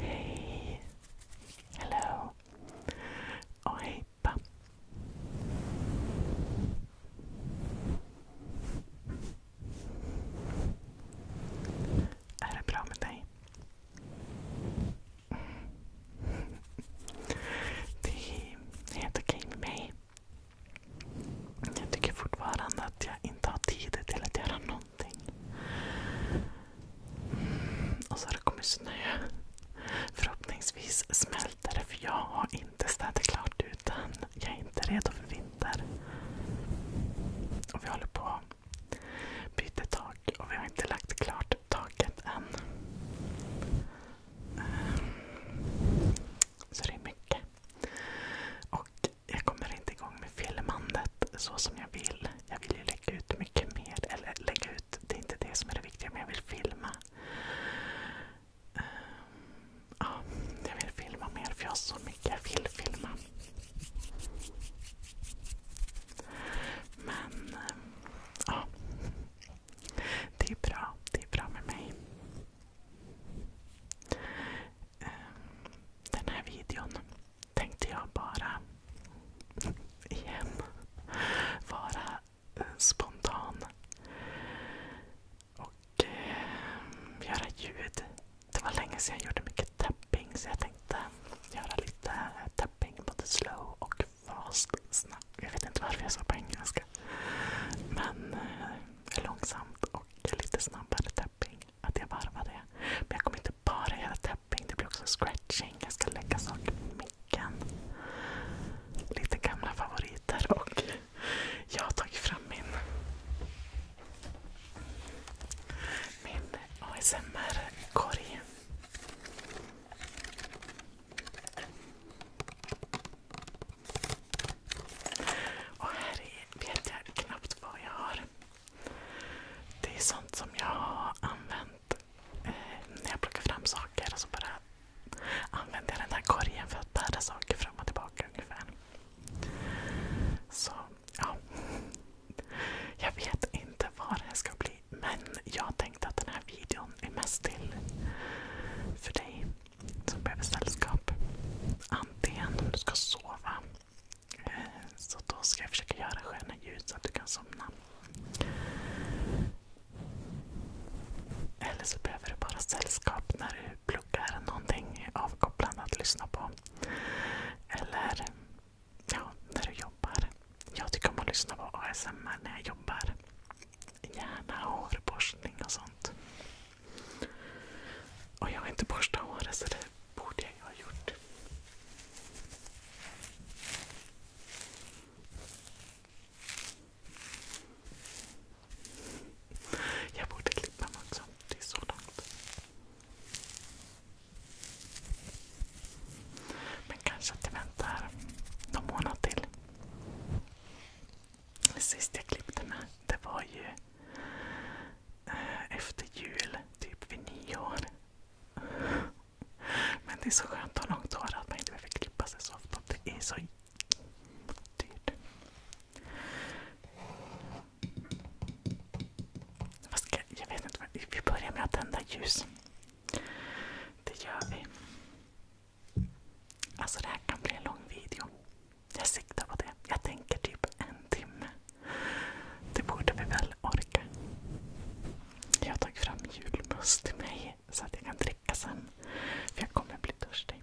Hei! Hello! Och hejpa! Är er det bra med dig? Det är helt okej med mig. Jag tycker fortfarande att jag inte har tid till att göra någonting. Och så har det kommit snö. Förhoppningsvis smälter det för jag har inte städat klart utan jag är inte redo för vinter. vi håller på att byta tak och vi har inte lagt klart bort taket än. Ehm, så det är mycket. Och jag kommer inte igång med filmandet så som jag vill. Jag vill ju lägga ut mycket mer. Eller lägga ut, det är inte det som är det viktiga, men jag vill filma. Ehm, ja, jag vill filma mer för jag har så mycket jag vill filma. Men eh, ja, det är bra. Det är bra med mig. Eh, den här videon tänkte jag bara igen vara eh, spontan och göra ljud. Det var länge sedan jag gjorde mycket tapping så jag tänkte göra lite tapping, både slow och fast. Jag vet inte varför jag sa på engelska. Men eh, långsamt och lite snabbare tapping. Att jag varvar det. Men jag kommer inte bara göra tapping, det blir också scratching. Jag ska lägga saker på micken. Lite gamla favoriter. och Jag har tagit fram min min ASMR-korg. Och här är, vet jag knappt vad jag har. Det är sånt som jag har använt eh, när jag plockar fram saker. Alltså bara använder jag den här korgen för att bära saker fram och tillbaka Så, Jag vet inte vad det här ska bli. Men jag tänkte att den här videon är mest till för dig som behöver sällskap. Antingen om du ska sova. Eh, så då ska jag försöka göra sköna ljud så att du kan somna. Eller så behöver du bara sällskap när du pluggar någonting avkopplande att lyssna på. Eller ja, när du jobbar. Jag tycker om att lyssna på ASMR när jag jobbar. Gärna hårborstning och sånt. Och jag har inte borstat håret så det borde jag ju ha gjort. Jag borde klippa mig också. Det är så långt. Men kanske att jag väntar någon månad till. Sist jag klippte mig, det var ju eh, efter jul, typ vid nyår. Men det är så skönt att ha långt hår att man inte behöver klippa sig så ofta. Det är så dyrt. Fast jag, jag vet inte, vi börjar med att tända ljus. Det gör vi. Alltså det här kan bli en lång video. Jag siktar på det. Jag tänker typ en timme. Det borde vi väl orka. Jag har tagit fram julmust till mig så att jag kan dricka sen. För jag kommer bli törstig.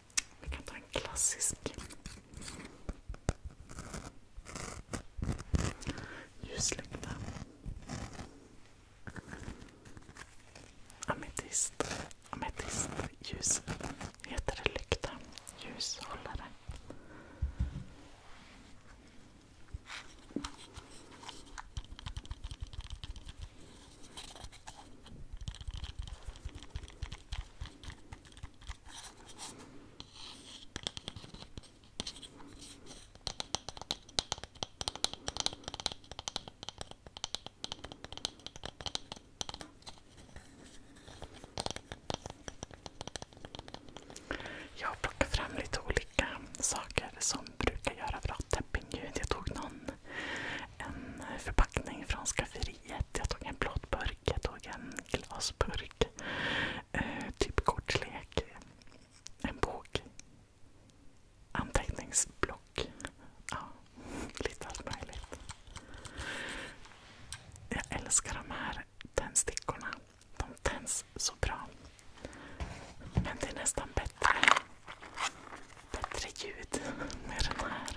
Vi kan ta en klassisk. Ljuslykta. Ametist. Heter det lykta? Ljushållare. Jag plockar fram lite olika saker som brukar göra bra tappingljud. Jag tog någon en förpackning från skafferiet. Jag tog en plåtburk, jag tog en glasburk. Eh, typ kortlek. En bok. Anteckningsblock. Ja, lite allt möjligt. Jag älskar de här tändstickorna. De tänds så bra. Men det är nästan bättre, bättre ljud med den här.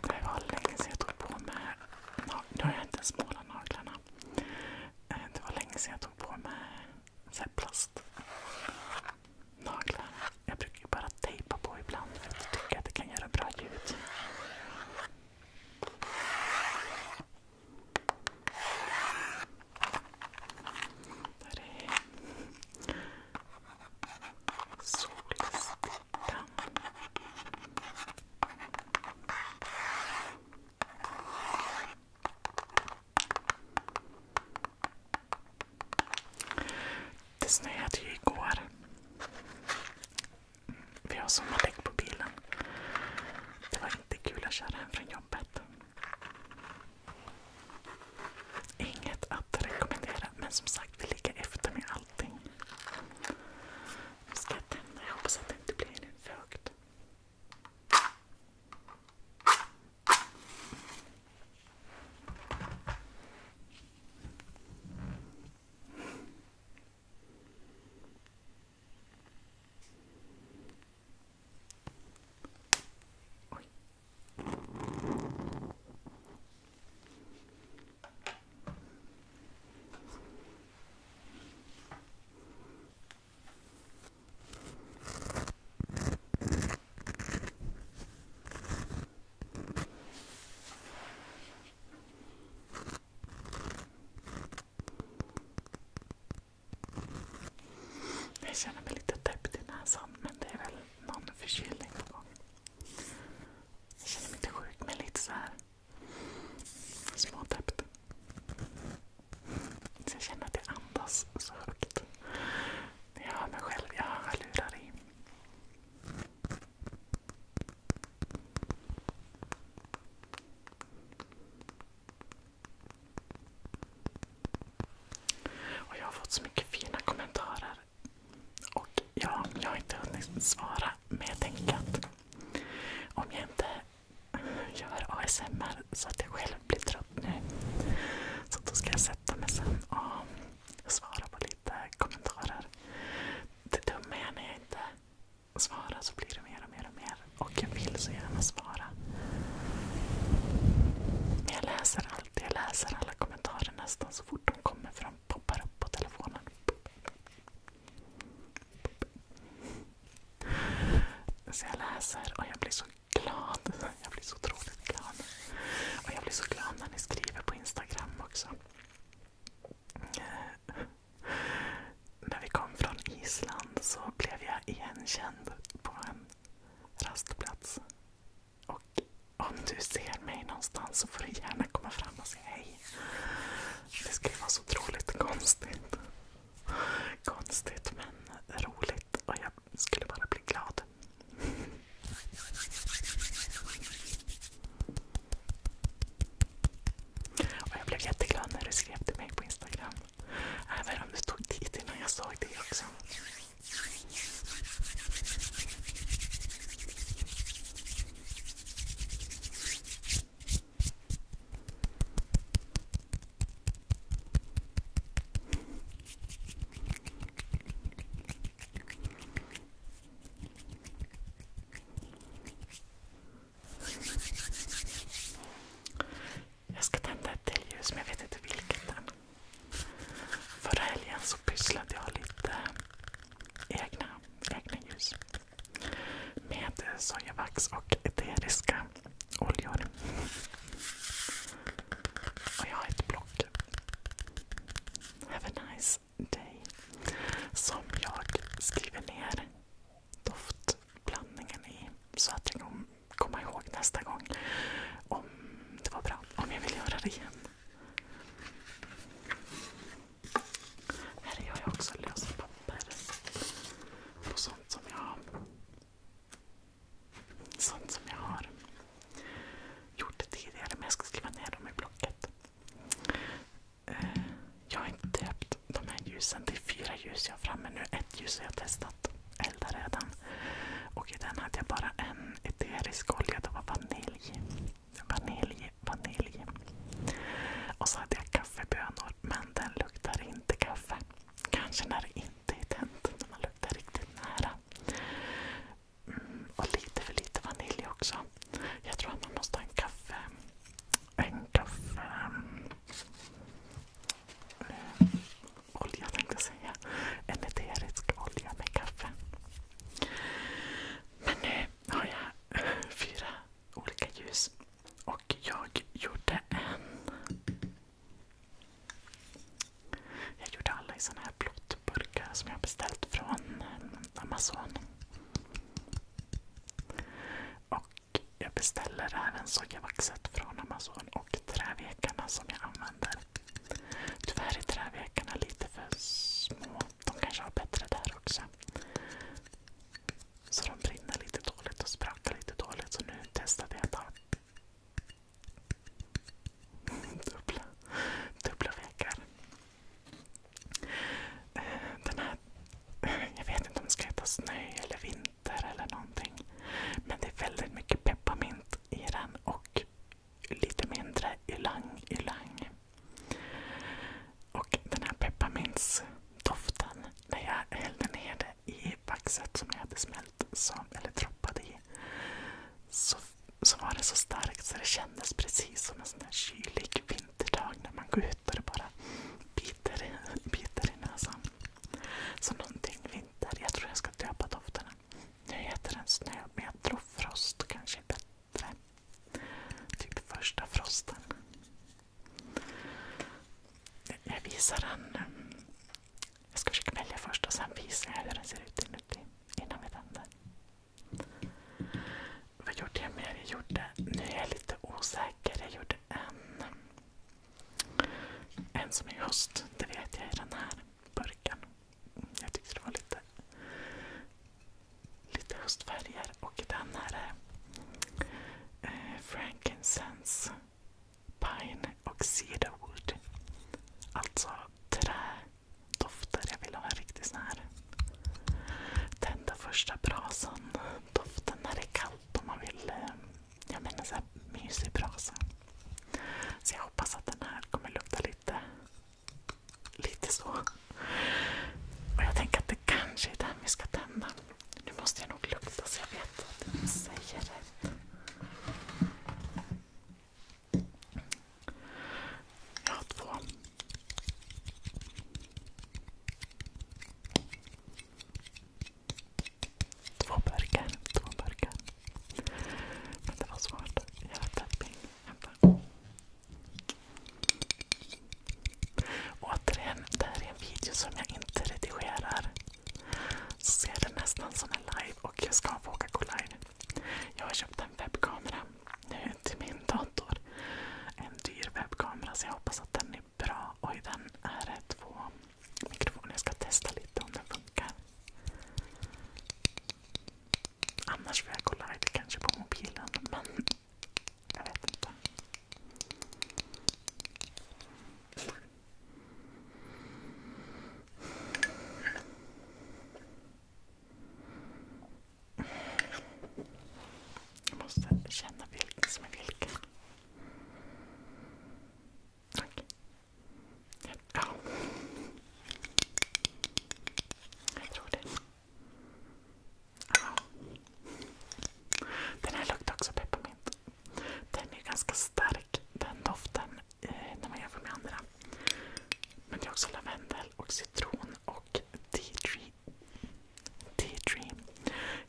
Det var länge sedan jag tog på mig... Nu har jag inte ens målat naglarna. Eh, det var länge sedan jag tog på mig så här plastnaglar. Jag brukar ju bara tejpa på ibland för att jag tycker att det kan göra bra ljud. Där är Solstickan. Det snöade ju igår. Vi har sommarlägg på bilen. Det var inte kul att köra hem från jobbet. Inget att rekommendera, men som sagt, vi ligger efter med allting. Nu ska jag tända. Jag hoppas att det inte blir för högt. Oj. Jag känner mig lite täppt i näsan men det är väl någon förkylning på gång. Jag känner mig inte sjuk, men lite så här småtäppt. Så jag känner att det andas så högt. Men jag hör mig själv, jag har hörlurar i. Och Jag har fått så mycket fina kommentarer. Och ja, Jag har inte hunnit svara, men jag tänker att om jag inte gör ASMR så att jag själv blir trött nu. Så då ska jag sätta mig sen och svara på lite kommentarer. Det dumma är när jag inte svarar så blir det mer och mer och mer. Och jag vill så gärna svara. Men jag läser allt alltid. Jag läser alla kommentarer nästan så fort de kommer för de poppar upp på telefonen. Så jag läser och jag blir så glad. Jag blir så otroligt glad. Och jag blir så glad när ni skriver på Instagram också. När vi kom från Island så blev jag igenkänd på en rastplats. Och om du ser mig någonstans så får du gärna komma fram och säga hej. Det skulle vara så otroligt konstigt. Konstigt men roligt och jag skulle bara bli glad. Och jag blev jätteglad när du skrev till mig på Instagram. Även om du tog tid innan jag såg det också. Jag ska tända ett till ljus men jag vet inte vilket än. Förra helgen så pysslade jag lite egna, egna ljus med sojavax och eteriska oljor. Och jag har ett block. Have a nice day. Som jag skriver ner doftblandningen i så att den komma ihåg nästa gång om det var bra. Om jag vill göra det igen. Här gör jag också lösa papper på sånt som jag har. Sånt som jag har gjort det tidigare men jag ska skriva ner dem i blocket. Eh, jag har inte döpt de här ljusen. Det är fyra ljus jag har framme nu. Ett ljus har jag testat börjat elda redan. Och i den hade jag bara en eterisk olja. Det var vanilj. Vanilj, vanilj. Och så hade jag kaffebönor, men den luktar inte kaffe. Kanske när det inte är tänt, när man luktar riktigt nära. Mm, och lite för lite vanilj också. Jag tror att man måste ha en kaffe... En kaffe... Mm olja tänkte jag säga. En eterisk olja med kaffe. Men nu har jag fyra olika ljus. Och jag gjorde en... Jag gjorde alla i såna som jag beställt från eh, Amazon. Och jag beställer även sojavaxet från Amazon och trävekarna som jag använder Tyvärr är trävekarna lite för små. De kanske har bättre där också. Så de brinner lite dåligt och sprakar lite dåligt. Så nu testade jag att ha dubbla, dubbla vekar. Eh, den här, jag vet inte om det ska heta snö eller vinter eller någonting. Men det är väldigt mycket pepparmint i den och lite mindre ylang ylang. Och den här pepparmintsdoften, när jag hällde ner det i vaxet som jag hade smält, som, eller droppat i, så, så var det så starkt så det kändes precis som en sån där kylig vinterdag när man går ut och det bara biter, i, biter i näsan. Så någonting vinter. Jag tror jag ska döpa dofterna. Nu heter den snö, men jag frost kanske bättre. Typ första frosten. Jag visar den. Jag ska försöka välja först och sen visar jag hur den ser ut inuti innan vi tänder. Vad gjorde jag mer? Jag gjorde, nu är jag lite osäker. Jag gjorde en, en som är höst. Det vet jag i den här burken. Jag tyckte det var lite, lite höstfärger. Och den här eh, Frankincense, Pine och Cedarwood. Alltså trädofter. Jag vill ha en riktig sån här tända första brasan-doften när det är kallt. Om man vill, eh, jag menar så här mysig brasa. Så jag hoppas att den här kommer lukta lite, lite så. Och jag tänker att det kanske är den vi ska tända. Nu måste jag nog lukta så jag vet att den säger rätt. Jag har två. Två burkar. Två burkar. Men det var svårt. Jag var tapping. Återigen, det här är en video som jag inte redigerar. Så ser det nästan som en live och jag ska våga gå live. Jag har köpt en webbkamera nu till min dator. En dyr webbkamera så jag hoppas att den är bra. Oj, den är två mikrofoner. Jag ska testa lite om den funkar. Annars får jag kolla lite kanske på mobilen. Men jag vet inte. Jag måste känna vilken som är vilken. Okej. Jag tror det. Den här luktar också pepparmint. Den är ganska stark den doften eh, när man jämför med andra. Men det är också lavendel och citron och tea tree.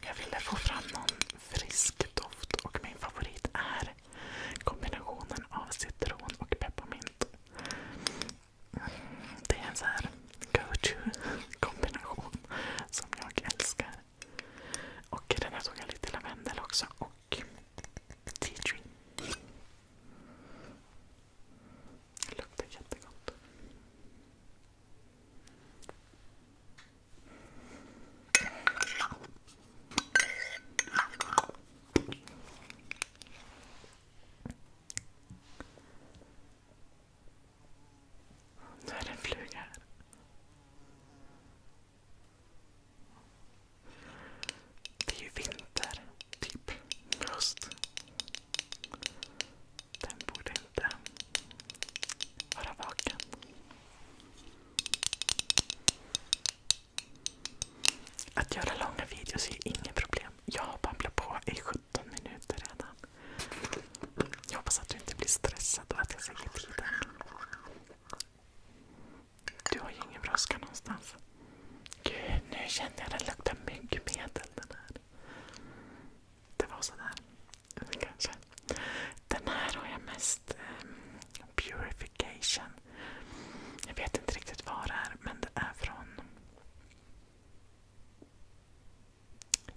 Jag ville få fram någon frisk doft och min favorit är Kombinationen av citron och pepparmint. Det är en så här go-to-kombination som jag älskar. Och den här tog jag lite lavendel också och tea tree. Det luktar jättegott. Nu är det en fluga här. Det är ju vinter, typ höst. Den borde inte vara vaken. Att göra långa videos är inget problem. Jag har babblat på i 17 minuter redan. Jag hoppas att du inte blir stressad och att jag säger tiden. Du har ju ingen brådska någonstans. Gud, nu känner jag den lukta myggmedel den här. Det var sådär. Kanske. Den här har jag mest um, Purification. Jag vet inte riktigt vad det är, men det är från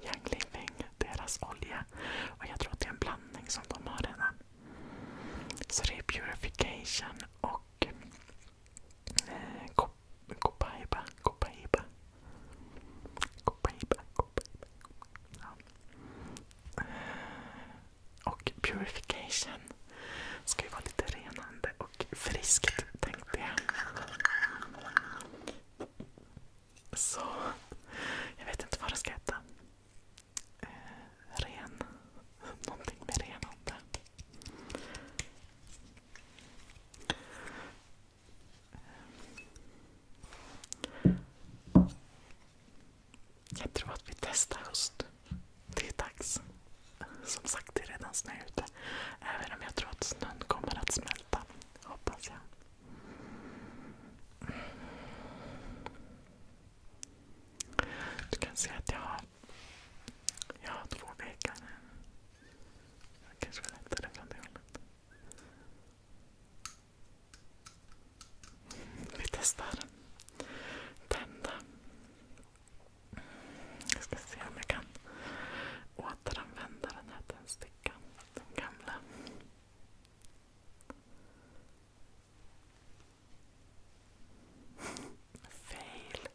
Young Living, deras olja. Och jag tror att det är en blandning som de har redan. Så det är Purification och Copaiba. Eh, Copaiba. Copaiba och purification ska ju vara lite renande och friskt tänkte jag. Så jag vet inte vad det ska heta. Eh, ren. Någonting med renande. Jag tror att vi testar höst. Det är dags. Som sagt, det är redan snö ute. Även om jag tror att snön kommer att smälta. Hoppas jag. Du kan se att jag har, två väggar. Jag kanske var lättare från det hållet. Vi testar. Tända. Jag ska se om jag kan återanvända den här tändstickan. Den gamla. Fail.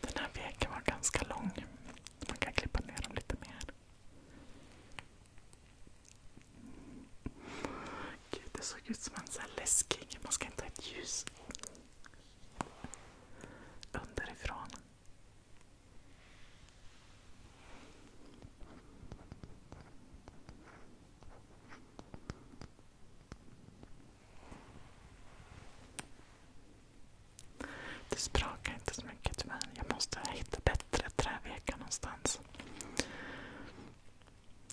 Den här veken var ganska lång. Man kan klippa ner dem lite mer. Gud, det såg ut som en sån här läskig... Man ska inte ha ett ljus underifrån. Det sprakar inte så mycket tyvärr. Jag måste hitta bättre trävekar någonstans.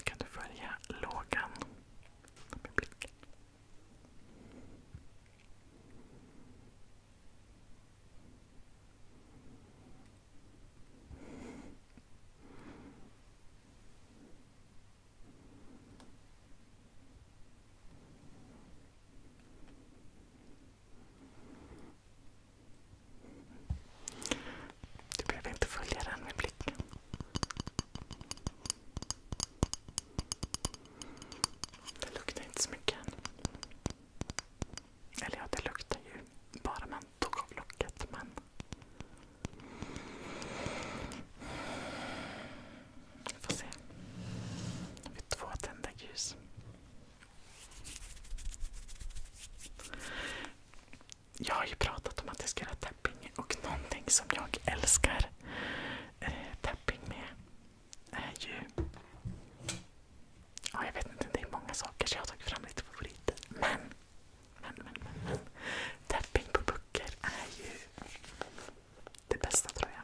Kan du följa lågan med blicken? Du behöver inte följa den med blicken. Det luktar inte så mycket. Eller ja, det luktar ju bara man tog av locket. Men... Vi får se. Vi två tända ljus. Jag har ju pratat om att jag ska göra tapping och någonting som jag älskar eh, tapping med är ju Ja, jag vet inte, det är många saker så jag har tagit fram lite favoriter. Men, men, men, men. men. Tapping på böcker är ju det bästa tror jag.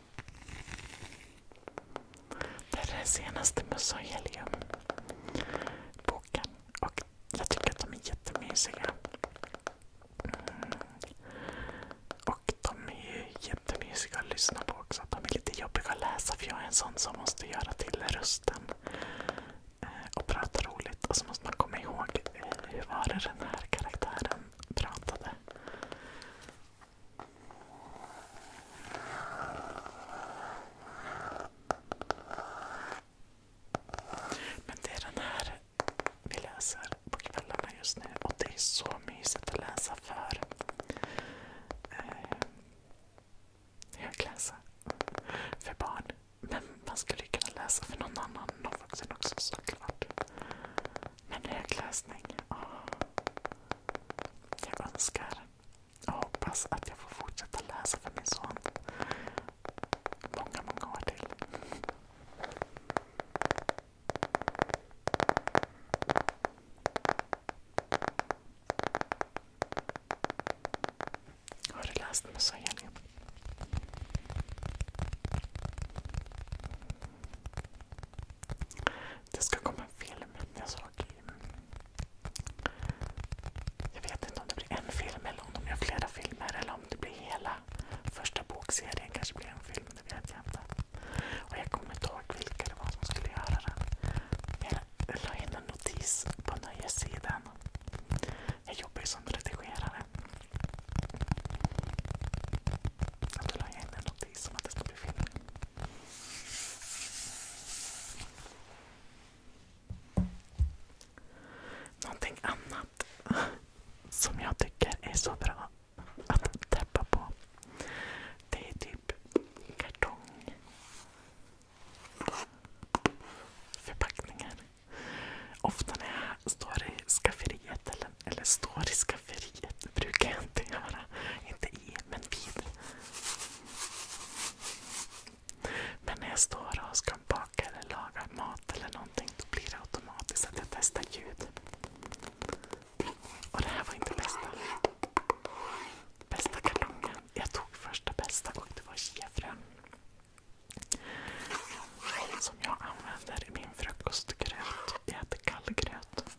Det här är den senaste helium boken Och jag tycker att de är jättemysiga. Mm. Och de är ju jättemysiga att lyssna på också. De är lite jobbiga att läsa för jag är en sån som måste göra till rösten eh, och prata roligt. Och så måste man komma ihåg eh, hur var det den här karaktären pratade. Men det är den här vi läser på kvällarna just nu och det är så mysigt att läsa för eh, För barn. Men man skulle kunna läsa för någon annan, också såklart. Men högläsning. Oh. Jag önskar jag hoppas att jag får fortsätta läsa för min son många, många år till. Har du läst Musa Elin? Det ska komma en film. Jag vet inte om det blir en film eller om de gör flera filmer eller om det blir hela första bokserien. kanske blir en film, det vet jag inte. jag kommer inte ihåg vilka det var som skulle göra den. Jag la in en notis på nöjessidan. Jag jobbar ju som redigerare. Då la jag in en notis om att det ska bli film. Någonting annat som jag tycker är så bra att täppa på. Det är typ kartong. Ofta när jag står i skafferiet eller, står i skafferiet brukar jag inte göra. Inte men vid. Men när jag står och ska baka eller laga mat eller någonting då blir det automatiskt att jag testar ljud. Och det här var inte bästa. Bästa kartongen. Jag tog första bästa och det var chiafrön. Som jag använder i min frukostgröt. Jag äter kall gröt.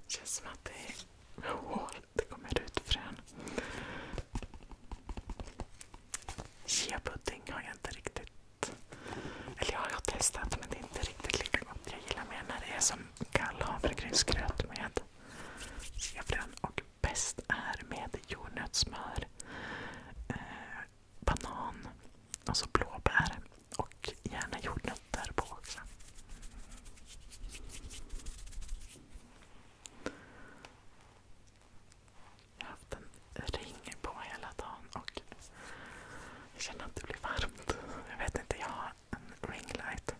Det känns som att det är hål. Det kommer ut frön. chia har jag inte riktigt... Eller jag har testat men det är inte riktigt lika gott. Jag gillar mer när det är som kall havregrynsgröt med chia och bäst är med jordnötssmör, eh, banan, alltså blåbär och gärna jordnötter på också. Jag har haft en ring på hela dagen och jag känner att det blir varmt. Jag vet inte, jag har en ringlight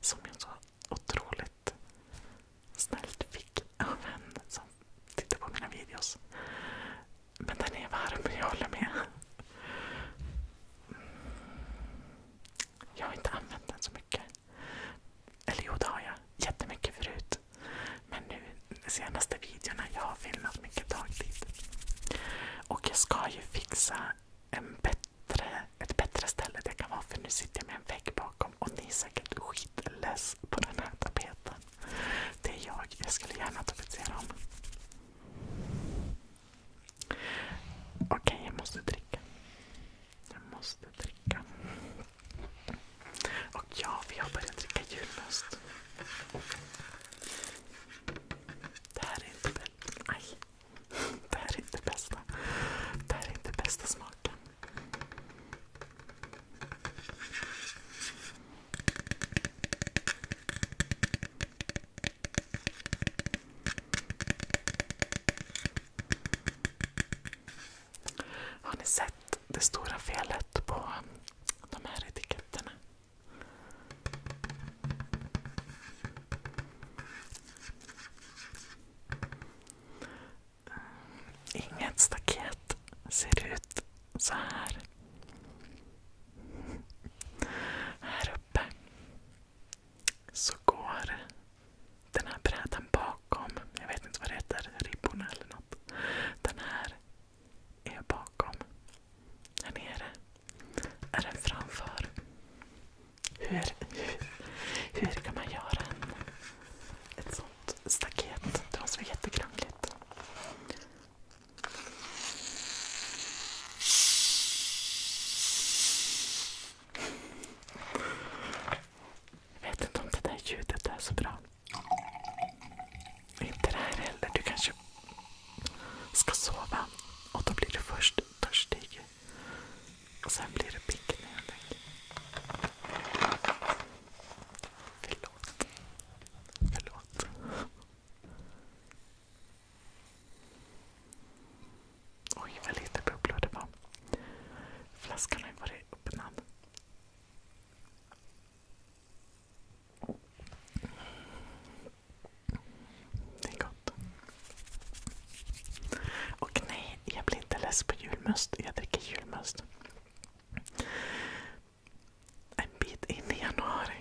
som jag så otroligt snällt fick av en som tittar på mina videos. Men den är varm, jag håller med. Jag har inte använt den så mycket. Eller jo, det har jag. Jättemycket förut. Men nu, de senaste videorna, jag har filmat mycket dagtid. Och jag ska ju fixa en bättre, ett bättre ställe där jag kan vara för nu sitter jag med en vägg bakom och ni är säkert skitless på den här tapeten. Det är jag. Jag skulle gärna tapetsera om. Okej, okay, jag måste dricka. Jag måste dricka. Och ja, vi har börjat dricka julmust. Det här är inte bäst. Det här är inte bästa. Det här är inte bästa smaken bort Har ni sett det stora felet på de här etiketterna? Inget staket ser ut så här. Här uppe så går den här brädan bakom. Jag vet inte vad det heter. Ribborna eller något. Den här är bakom. Här nere är den framför. Hur, hur, hur kan man göra en, ett så sånt staket. Det måste vara jättekrångligt. Jag vet inte om det där ljudet är så bra. Inte det här heller. Du kanske ska sova och då blir du först törstig. Och sen blir du pigg när jag lägger. Förlåt. Förlåt. Oj, vad lite bubblor det var. Flaskan har ju varit öppnad. Det är gott. Och nej, jag blir inte less på julmust. Jag dricker julmust. En bit in i januari.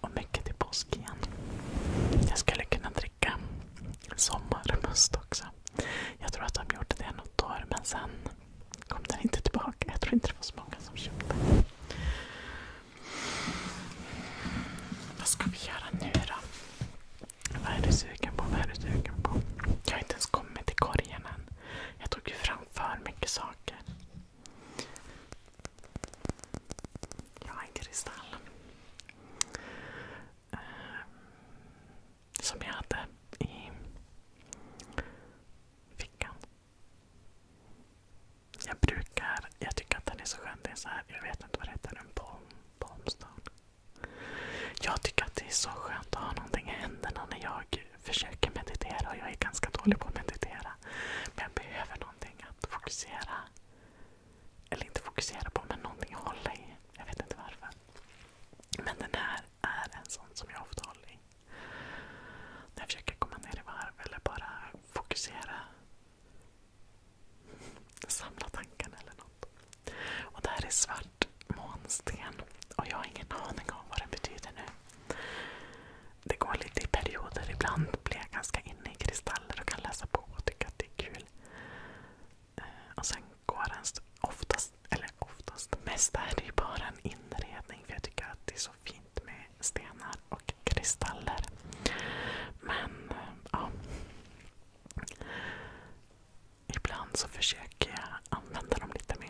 Och mycket till påsk igen. Jag skulle kunna dricka sommarmust också. Jag tror att de gjorde det något år men sen kom den inte tillbaka. Jag tror inte det var så många som köpte. Vad ska vi göra nu då? Vad är du sugen på? Vad är du sugen på? Jag har inte ens kommit till korgen än. Jag tog ju fram för mycket saker. Jag har en kristall. Eh, som jag hade i fickan. Jag brukar, jag tycker att den är så skön. Det är så här, jag vet inte vad det heter, en bomb. palmstone. Jag tycker att det är så skönt att ha någonting i händerna när jag försöker meditera. och Jag är ganska dålig på att meditera. Men jag behöver någonting att fokusera. Eller inte fokusera på, men någonting att hålla i. Jag vet inte varför. Men den här är en sån som jag ofta håller i. När jag försöker komma ner i varv eller bara fokusera. Samla tankarna eller något. Och det här är svart månsten. Och jag har ingen aning om vad det betyder nu. Det går lite i perioder. Ibland blir jag ganska inne i kristaller och kan läsa på och tycka att det är kul. Eh, och sen går den oftast, eller oftast, mest är det ju bara en inredning för jag tycker att det är så fint med stenar och kristaller. Men, eh, ja ibland så försöker jag använda dem lite mer.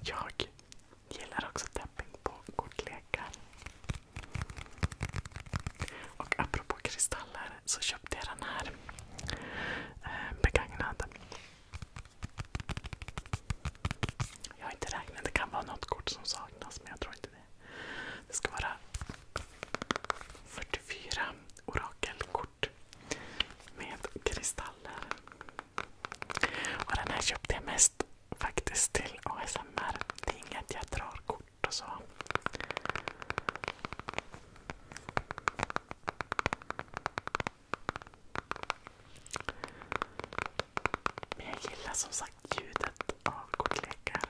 Jag gillar också tapping på kortlekar. Och apropå kristaller så köpte jag den här eh, begagnad. Jag har inte räknat. Det kan vara något kort som saknas, men jag tror inte det. Det ska vara 44 orakelkort med kristaller. Och den här köpte jag mest faktiskt till ASMR. Det är inget jag drar kort och så. Men jag gillar som sagt ljudet av kortlekar.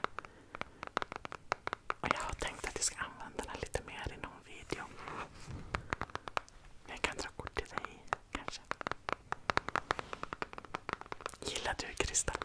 Och jag har tänkt att jag ska använda den lite mer i någon video. Jag kan dra kort till dig kanske. Gillar du kristaller?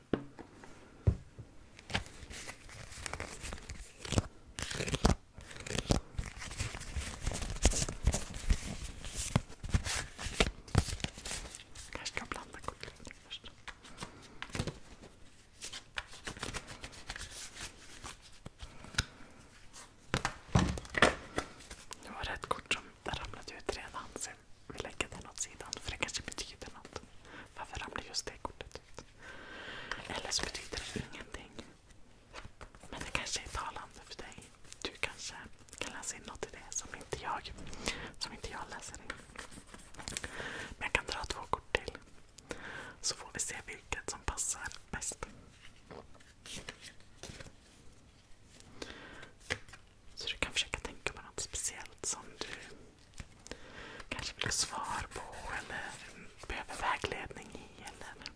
först. Kanske ska blanda kortleken först. Det var rätt kort som ramlade ut redan så lägga den åt sidan. För det kanske betyder något. Varför ramlar just det kortet ut? Eller så betyder det ingenting. Men det kanske är talande för dig. Du kanske kan läsa in något i det som inte jag läser in. Men jag kan dra två kort till. Så får vi se vilket som passar bäst. Så du kan försöka tänka på något speciellt som du kanske vill ha svar på eller behöver vägledning i. Eller,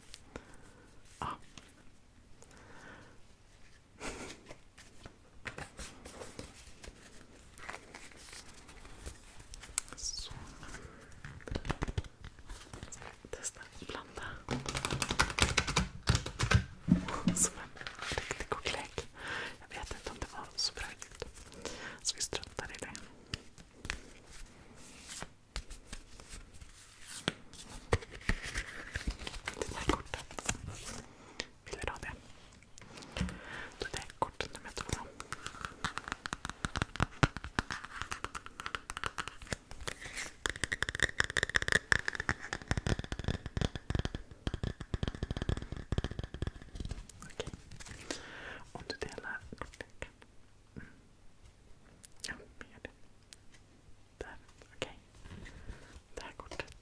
ja. Så. Testa blanda. Som en riktig koklek. Jag vet inte om det var så bra ljud. Så vi struntar i det. Det där kortet. Vill du ha det? Då det är kort nummer två. Okej. Om du delar kortleken. Mm. Ja, vi gör det. Där, okej. Det här kortet.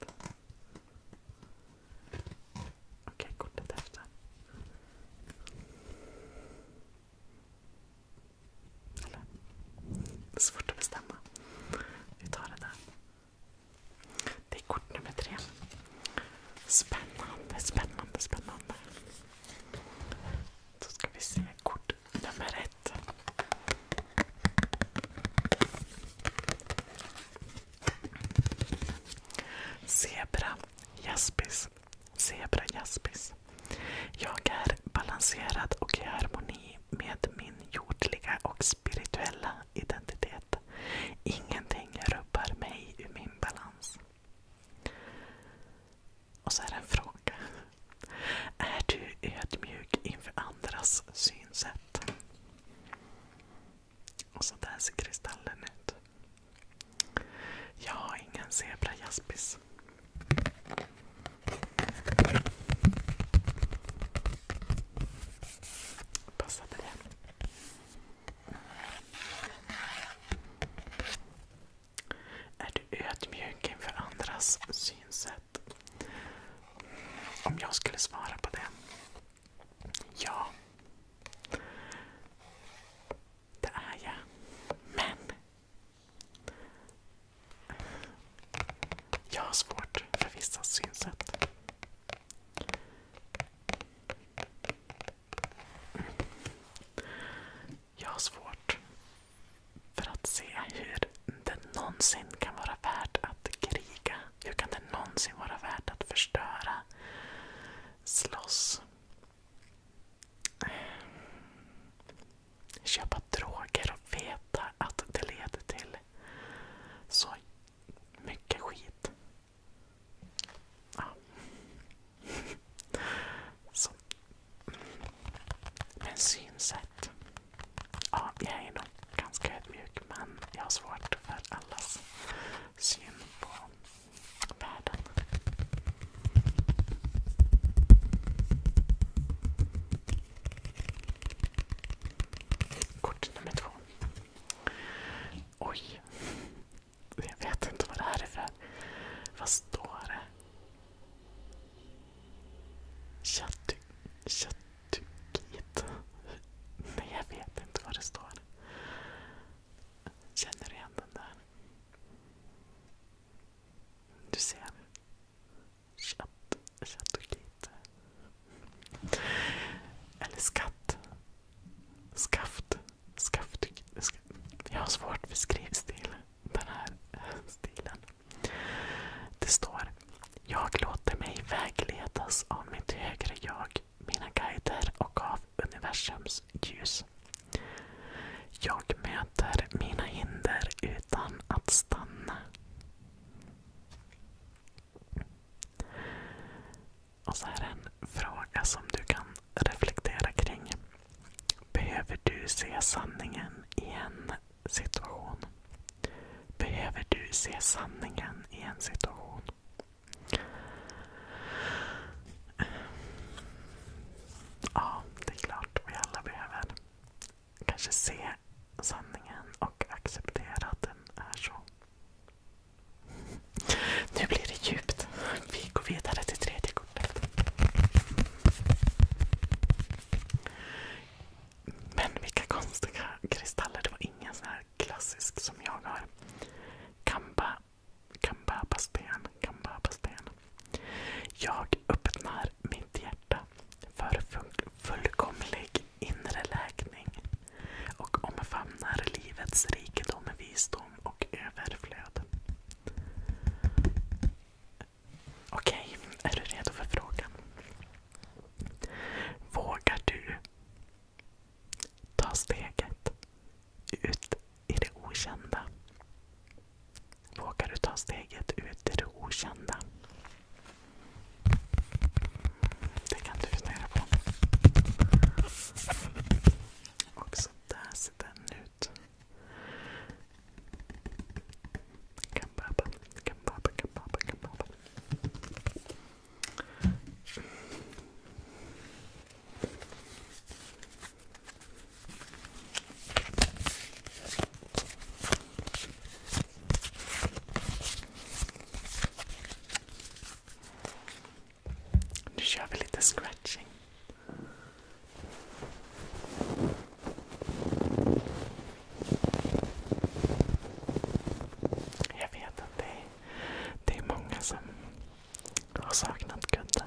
Okej, kortet efter. Eller? Det är svårt att bestämma. Vi tar det där. Det är kort nummer tre. Spännande, spännande, spännande. Då ska vi se kort nummer ett. Zebra jaspis. Zebra jaspis. Jag är balanserad och i harmoni med min jordliga och spirituella identitet. Ingenting rubbar mig ur min balans. Och så är det en fråga. Är du ödmjuk inför andras synsätt? Och så där ser kristallen ut. Jag har ingen zebra jaspis. Passade det. Är du ödmjuk inför andras synsätt? Om jag skulle svara på det? Ja. Det är jag. Men jag har svårt för vissa synsätt. Jag har svårt för att se hur det någonsin kan vara värt att kriga. Hur kan det någonsin vara värt att förstöra? Slåss? Köpa droger och veta att det leder till så mycket skit. Ja. Så. Men synsätt. Ja, jag är nog ganska ödmjuk men jag har svårt för allas syn på världen. Kort nummer två. Oj. Jag vet inte vad det här är för. Vad står det? Chattuk. Chattukit. Nej, jag vet inte vad det står. Känner du igen den där? Du ser. Chattukit inte. Eller skatt. Skaft. Skaft. Jag har svårt för skrivstil. Den här stilen. Det står Jag låter mig vägledas av mitt högre jag, mina guider och av universums ljus. Jag möter mina hinder utan att stanna. Och så är det en fråga som du kan reflektera kring. Behöver du se sanningen i en situation? Behöver du se sanningen i en situation? Ja, det är klart vi alla behöver kanske se sanningen och acceptera att den är så. Nu blir det djupt. Vi går vidare till tredje kortet. Men vilka konstiga kristaller. Det var ingen sån här klassisk som jag har. Kamba. Kambabasten. Jag öppnar mitt hjärta för fullkomlig inre läkning och omfamnar livets rikedom, visdom och överflöd. Okej, är du redo för frågan? Vågar du ta steget ut i det okända? Vågar du ta steget ut i det okända? Det kan du fundera på. Och så där ser den ut. Kambaba, kambaba, kambaba, kambaba. Nu kör vi lite scratching. Jag vet att det är, det är många som har saknat kudden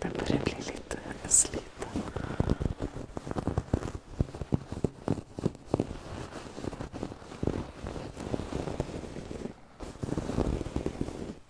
den börjar bli lite sliten.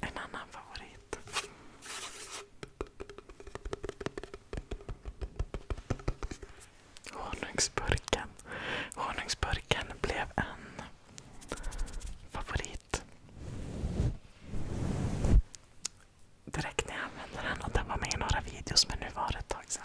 En annan favorit. Honungsburken. Honungsburken blev en favorit. Direkt när jag använde den och den var med i några videos men nu var det ett tag sedan.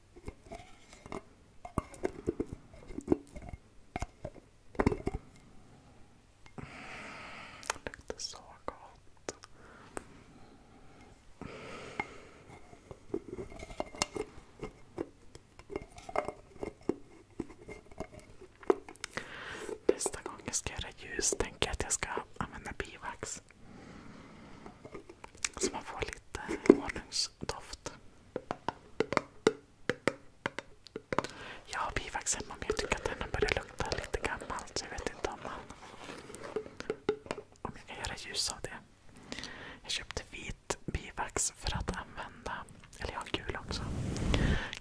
luktar så gott. Nästa gång jag ska göra ljus tänker jag att jag ska använda bivax. Så man får lite honungs doft. Jag har bivax hemma, men jag tycker att den har börjat lukta lite gammalt. Så jag vet inte om man om jag kan göra ljus av det. Jag köpte vit bivax för att använda, eller jag har gul också.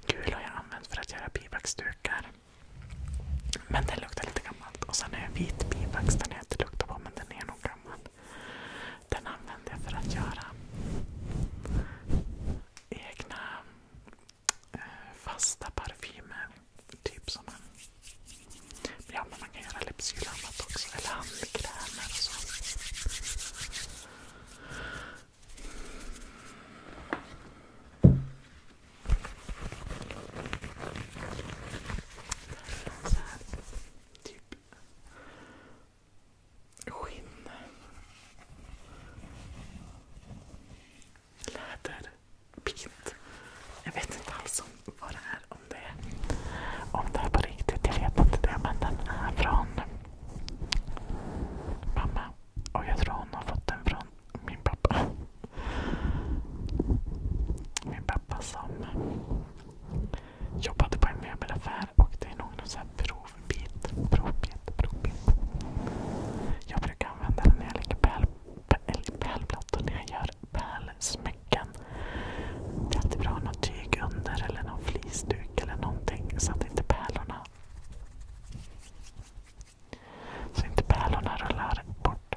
Gul har jag använt för att göra bivaxdukar. Men den luktar lite gammalt. Och sen har jag vit bivax, den har jag inte luktat på men den är nog gammal. Den använder jag för att göra egna eh, fasta parfymer. Typ som en, ja, men man kan göra läppsyl och annat också. Eller handkrämer och så. Så här, typ Skinn. Läder. Bit. Jag vet inte alls vad det är, om det är på riktigt. Jag vet inte det. Men den är från mamma. Och jag tror hon har fått den från min pappa. Min pappa som jobbade på en möbelaffär och det är nog någon sån här provbit, provbit, provbit. Jag brukar använda den när jag lägger pärl, pärlplattor, när jag gör pärlsmycken. Det är alltid bra att ha något tyg under eller någon flisduk eller någonting så att inte pärlorna så inte pärlorna rullar bort.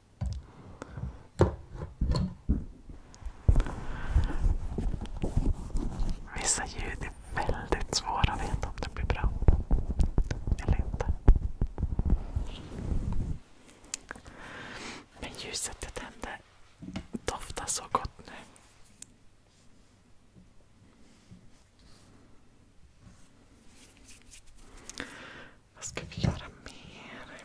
Vissa ljud är väldigt svåra att veta om det blir bra eller inte. Men ljuset jag tände doftar så gott nu. Vad ska vi göra mer?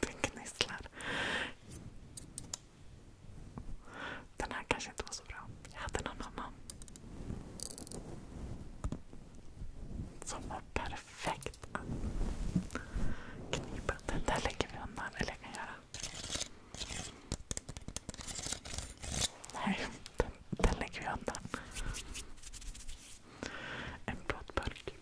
Den gnisslar. Den här kanske inte var så bra. Jag hade någon annan. Som var perfekt. Titta. Knipen. Den där lägger vi undan. Eller jag kan göra. Nej, den, den lägger vi undan. En plåtburk.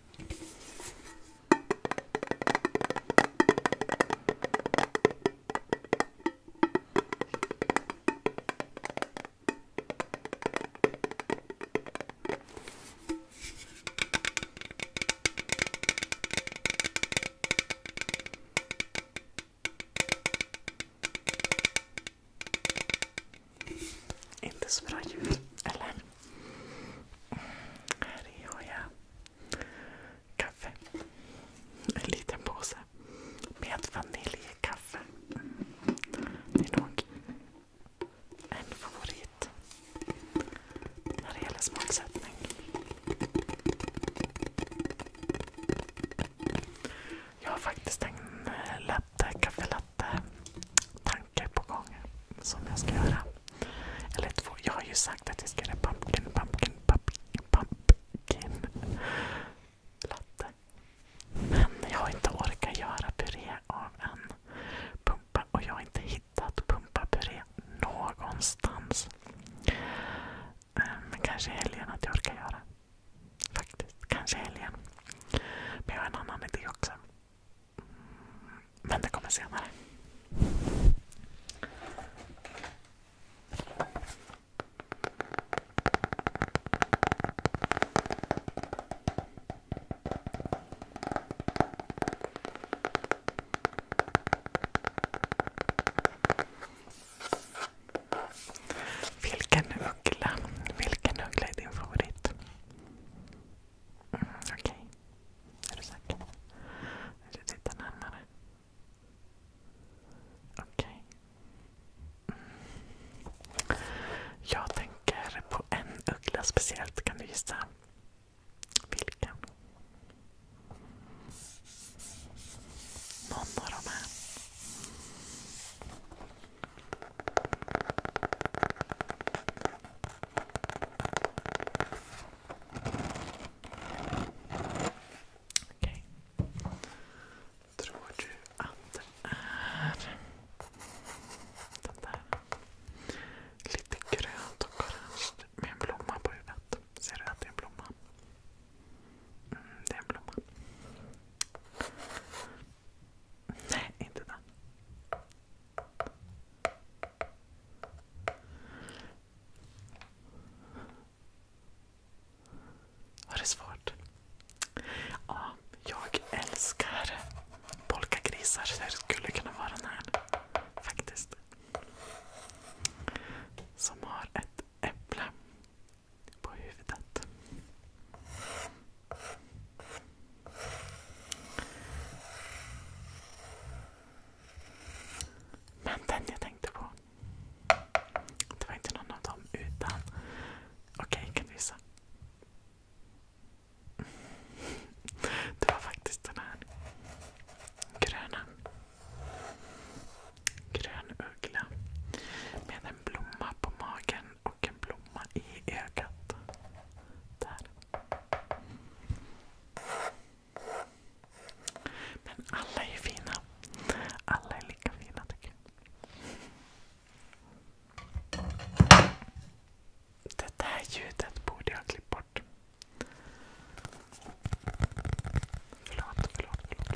Inte så bra ljud, eller? Här har jag kaffe. En liten påse med vaniljkaffe. Det är nog en favorit när det gäller smaksättning. Jag har faktiskt en eh, latte, kaffelatte tanke på gång som jag ska göra. Eller två. Jag har ju sagt att jag ska göra pumpkin, pumpkin, pumpkin, pumpkin latte. Men jag har inte orkat göra puré av en Pumpa, och jag har inte hittat pumpapuré någonstans. Eh, men kanske helgen att jag orkar göra. Faktiskt. Kanske helgen. Men jag har en annan idé också. Men det kommer senare. Vilken uggla? är din favorit? Mm, okej. Är du säker? Vill du titta närmare? Okej. Mm. Jag tänker på en uggla speciellt. Kan du gissa? Vilken? Någon av de här. Okej. Tror du att det är den där? lite grönt och orange med en blomma på huvudet. Ser du att det är en blomma? Mm, det är en blomma. Nej, inte den. Var det svårt? Ja, jag älskar polkagrisar. Så det skulle kunna vara den här. Faktiskt. Som har ett äpple på huvudet. Men den jag tänkte på. Det var inte någon av dem utan... Okej, okay, kan du visa? Det var faktiskt den här gröna. Grön uggla med en blomma på magen och en blomma i ögat. Där. Men alla är fina. Alla är lika fina tycker jag. Det där ljudet borde jag ha klippt bort. Förlåt, förlåt, förlåt.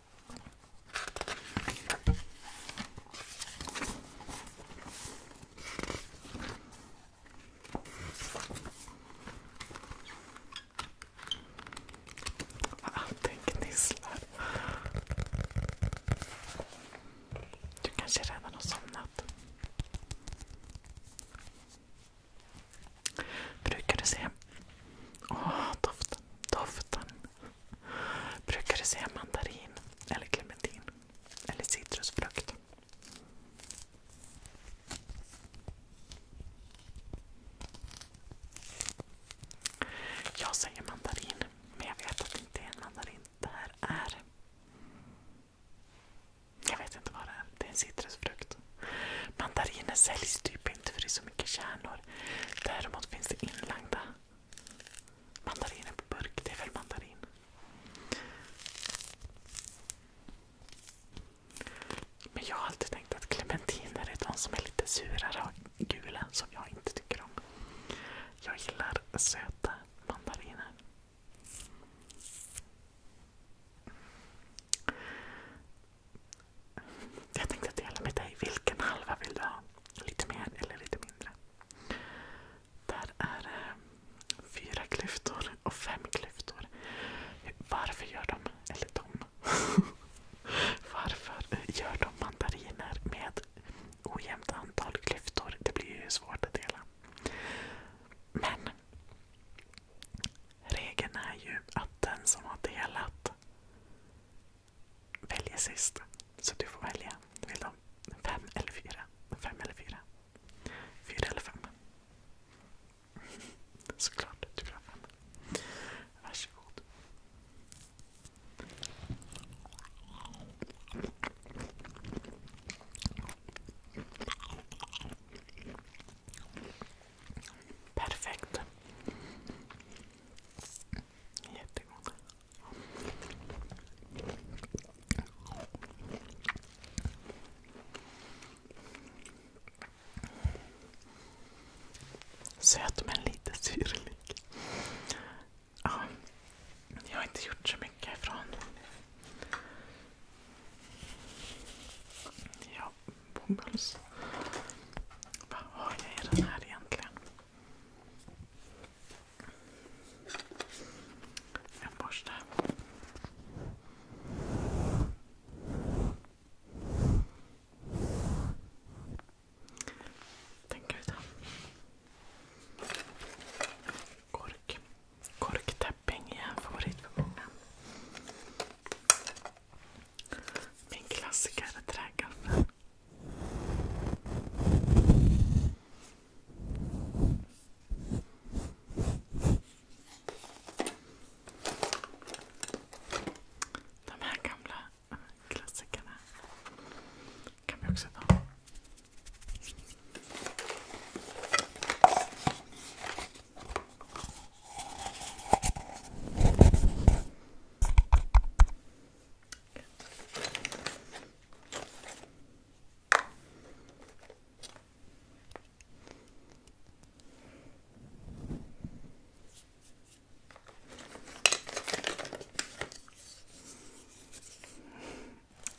Allting gnisslar. Du kanske redan har somnat? Brukar du se... Åh, oh, doften. Brukar du se mandarin eller clementin. Eller citrusfrukt. Jag säger mandarin, men jag vet att det inte är en mandarin. Det här är... Jag vet inte vad det är. Det är en citrusfrukt. Mandariner säljs typ inte för det är så mycket kärnor. Däremot finns det inlagda mandariner på burk. Det är väl mandarin? Men jag har alltid tänkt att clementiner är de som är lite surare och gula som jag inte tycker om. Jag gillar söta mandariner. Jag tänkte dela med dig. Vilken halva vill du ha? Lite mer eller lite mindre? Där är eh, fyra klyftor och fem klyftor. Varför gör de, eller de, varför eh, gör de mandariner med ojämnt antal klyftor? Det blir ju svårt att dela. Men regeln är ju att den som har delat väljer sist. Så du får välja. Vill du ha fem eller fyra? Fem eller fyra? Fyra eller fem? Såklart du vill ha fem. Varsågod. Perfekt. Jättegod. Söt men lite syrlig. Ja, jag har inte gjort så mycket ifrån. Jag Bomulls. Vad har jag i den här egentligen? En borste. Tänker vi ta. Kork. Korktäpping är en favorit för många. Min klassiker är träkaffe. De här gamla klassikerna kan vi också ta.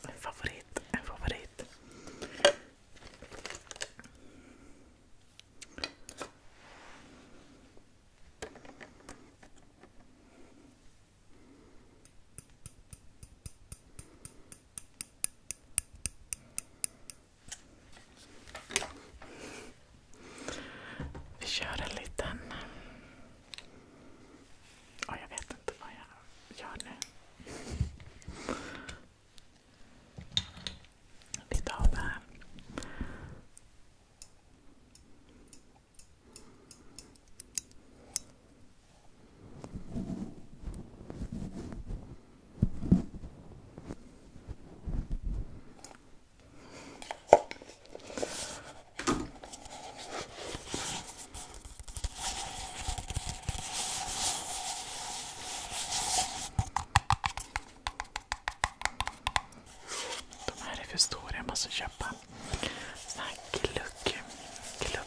En favorit, en favorit. Vi kör en liten... Oh, jag vet inte vad jag gör nu lite av det här. De här är för stora, jag måste köpa såna här glugg, glugg,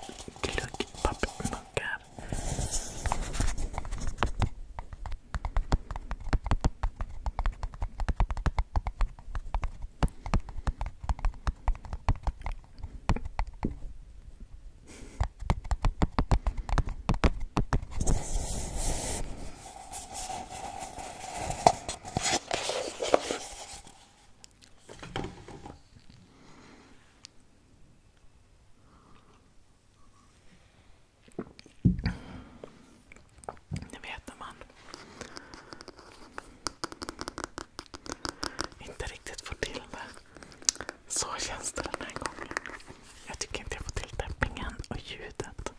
ni vet när man inte riktigt får till det. Så känns det den här gången. Jag tycker inte jag får till dämpningen och ljudet.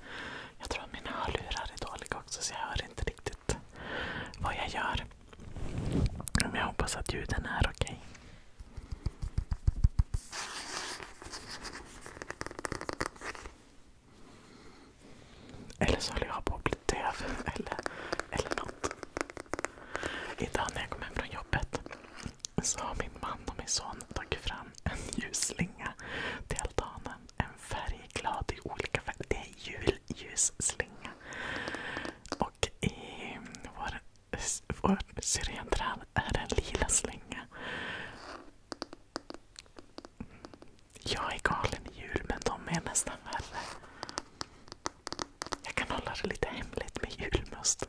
Jag tror att mina hörlurar är dåliga också så jag hör inte riktigt vad jag gör. Men jag hoppas att ljuden är okej. Eller så håller jag på att bli döv eller, eller något. Idag när jag kom hem från jobbet så har min man och min son tagit fram altanen, en ljusslinga. Till altanen, en färgglad i olika färger. Det är julljusslinga. Och i vår, vår syrentrall är det en lila slinga. Jag är galen i jul, men de är nästan värre. Jag kan hålla det lite hemligt med julmust.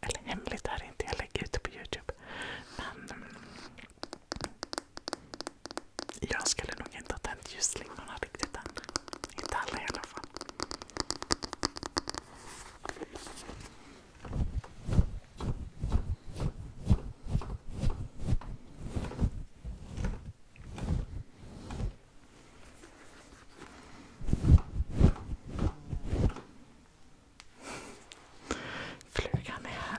Eller hemligt är det inte, jag lägger ut det på Youtube. Men jag skulle nog inte ha tänt ljusslingorna riktigt än. Inte alla i alla fall. Flugan är här.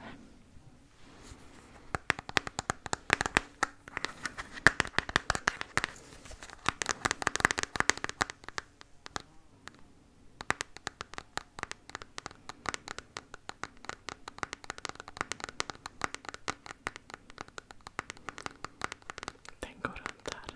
Den går runt här.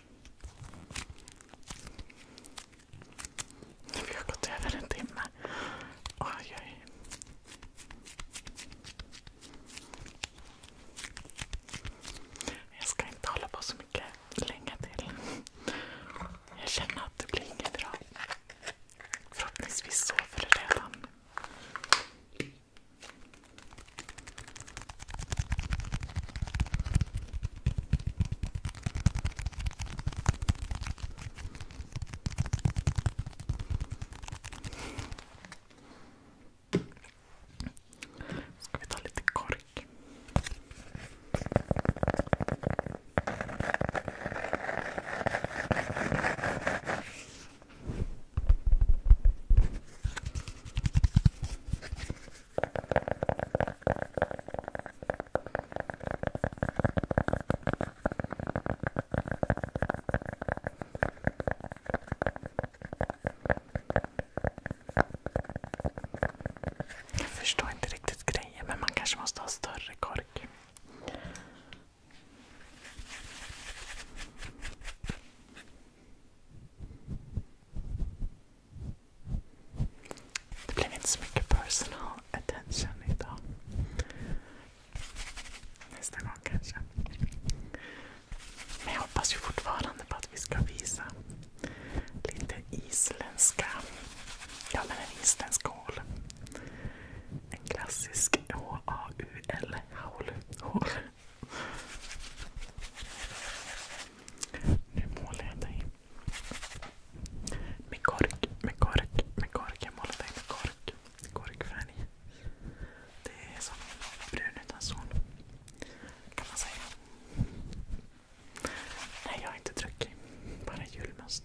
Vi har gått över en timme. Oj, oj. Jag ska inte hålla på så mycket länge till. Jag känner att det blir inget bra. Förhoppningsvis sover du redan. Ska vi ta lite kork? Jag förstår inte riktigt grejen, men man kanske måste ha större kork. Det blev inte så mycket personal attention idag. Nästa gång kanske. Men jag hoppas fortfarande på att vi ska visa lite isländska, ja men hål. En klassisk H-A-U-L, haul, hål. Nu målar jag dig. Med kork, med kork, med kork. Jag målar dig med Korkfärg. Det är som brun utan sol. Kan man säga. Nej, jag har inte druckit. Bara julmust.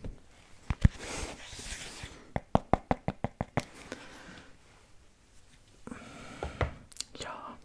Ja,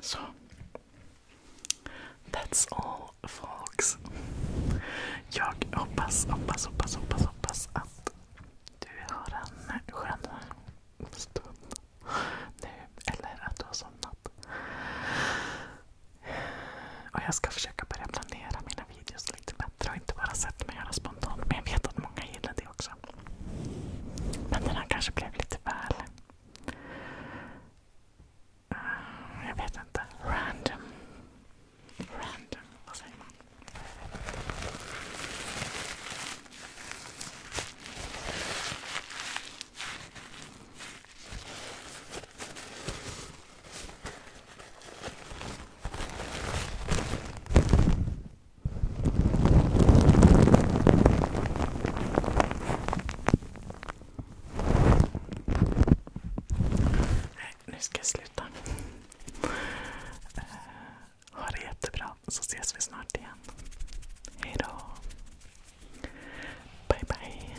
So, that's all folks. Jag hoppas, hoppas, hoppas, hoppas, hoppas att du har en skön stund nu. Eller att du har somnat. Och jag ska försöka börja planera mina videos lite bättre och inte bara sätta mig och göra spontant. Men jag vet att många gillar det kul också. Men den här kanske blev lite väl... Eh, jag vet inte. Random. Random. Vad säger man? Nej, nu ska jag sluta. Eh, ha det jättebra så ses vi snart igen. Hejdå. Bye bye.